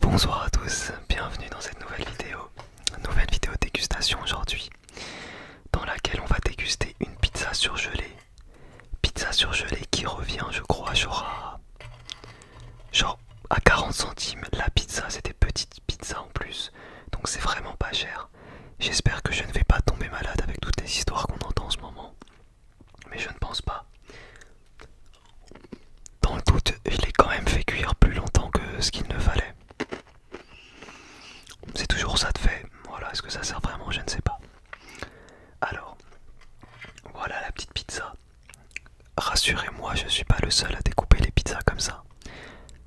Bonsoir à tous, bienvenue dans cette nouvelle vidéo, nouvelle vidéo dégustation aujourd'hui, dans laquelle on va déguster une pizza surgelée, pizza surgelée qui revient je crois genre à, genre à 40 centimes, la pizza c'est des petites pizzas en plus, donc c'est vraiment pas cher, j'espère que je ne vais pas tomber malade avec toutes les histoires qu'on entend en ce moment, mais je ne pense pas. Dans le doute, je l'ai quand même fait cuire plus longtemps que ce qu'il ne fallait. C'est toujours ça de fait. Voilà, est-ce que ça sert vraiment Je ne sais pas. Alors, voilà la petite pizza. Rassurez-moi, je ne suis pas le seul à découper les pizzas comme ça.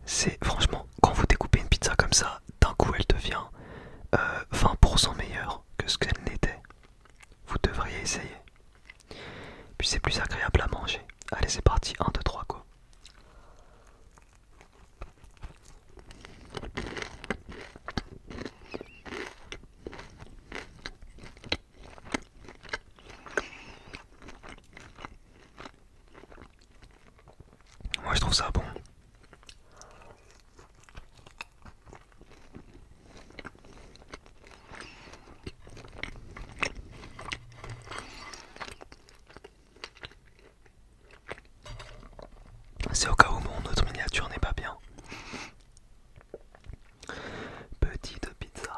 C'est franchement, quand vous découpez une pizza comme ça, d'un coup elle devient 20% euh, meilleure que ce qu'elle n'était. Vous devriez essayer. Puis c'est plus agréable à manger. Allez, c'est parti. 1, 2, 3, go. Moi je trouve ça bon. C'est au cas où mon autre miniature n'est pas bien. Petite pizza.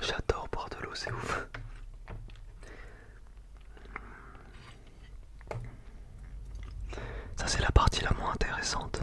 J'adore boire de l'eau, c'est ouf. Ça c'est la partie la moins intéressante.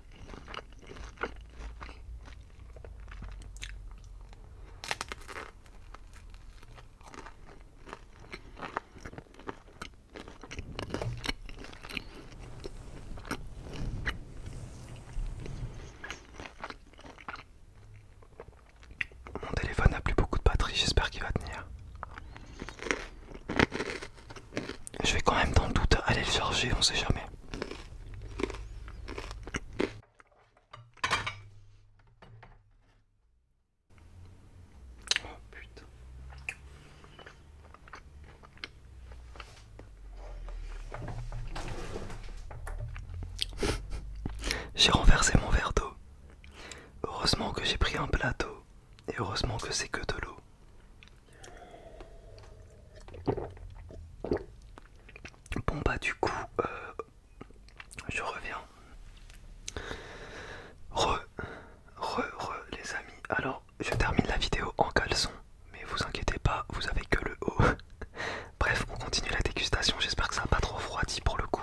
Mon téléphone n'a plus beaucoup de batterie, j'espère qu'il va tenir. Je vais quand même dans le doute aller le charger, on sait jamais. Oh putain. J'ai renversé mon verre d'eau. Heureusement que j'ai pris un plateau. Et heureusement que c'est que de l'eau. Bon bah du coup euh, je reviens. Re, re, re les amis. Alors je termine la vidéo en caleçon, mais vous inquiétez pas, vous avez que le haut. Bref, on continue la dégustation, j'espère que ça n'a pas trop froidi pour le coup.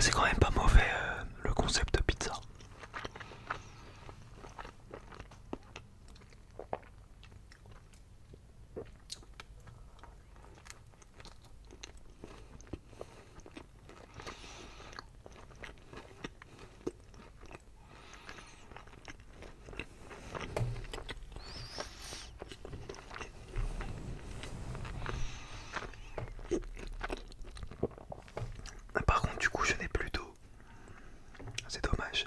C'est quand même pas mauvais euh, le concept de pizza. Par contre, du coup, je n'ai plus d'eau. C'est dommage.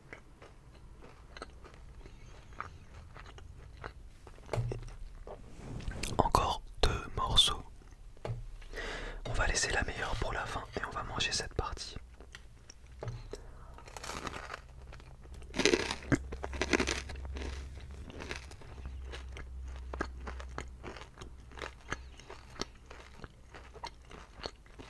Encore deux morceaux. On va laisser la meilleure pour la fin et on va manger cette partie.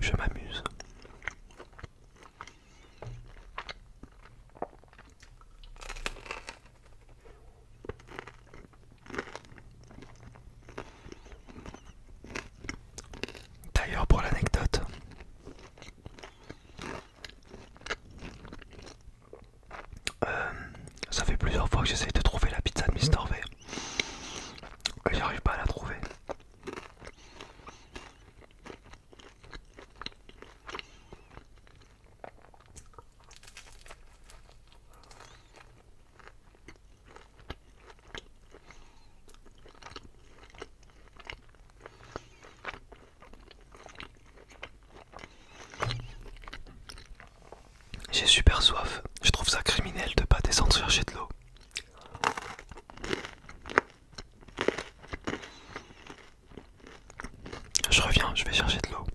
Je m'amuse. D'ailleurs pour l'anecdote, euh, ça fait plusieurs fois que j'essaie de trouver la pizza de Mister V. Et j'arrive pas à la trouver. J'ai super soif. Je trouve ça criminel de pas descendre chercher de l'eau. Je reviens, je vais chercher de l'eau.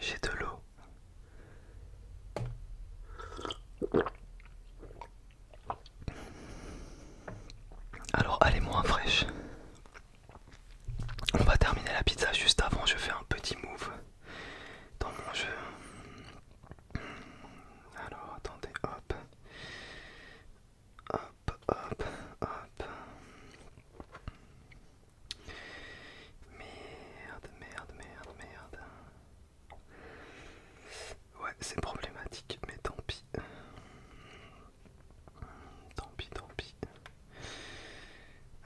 J'ai de l'eau. Alors allez moi moins fraîche. On va terminer la pizza juste avant, je fais un petit move dans mon jeu. Alors attendez, hop. Hop, hop, hop. Merde, merde, merde, merde. Ouais, c'est problématique, mais tant pis. Tant pis, tant pis.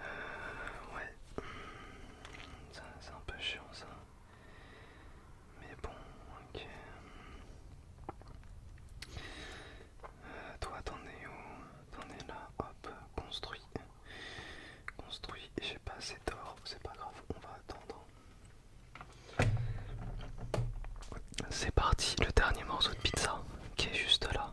Euh, ouais. C'est un peu chiant ça. Mais bon, ok. Euh, toi, t'en es où T'en es là, hop, construit. Construit, j'ai pas assez d'or, c'est pas grave, on va attendre. C'est parti, le dernier morceau de pizza qui est juste là.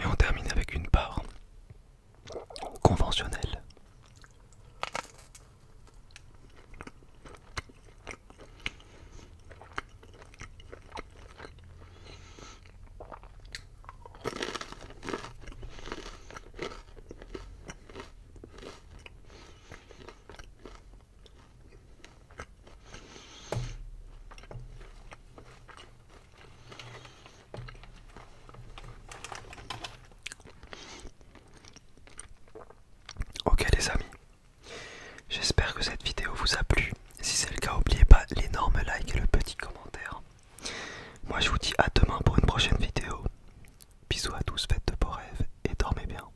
Et on termine avec une part conventionnelle. Ok les amis, j'espère que cette vidéo vous a plu. Si c'est le cas, n'oubliez pas l'énorme like et le petit commentaire. Moi je vous dis à demain pour une prochaine vidéo. Bisous à tous, faites de beaux rêves et dormez bien.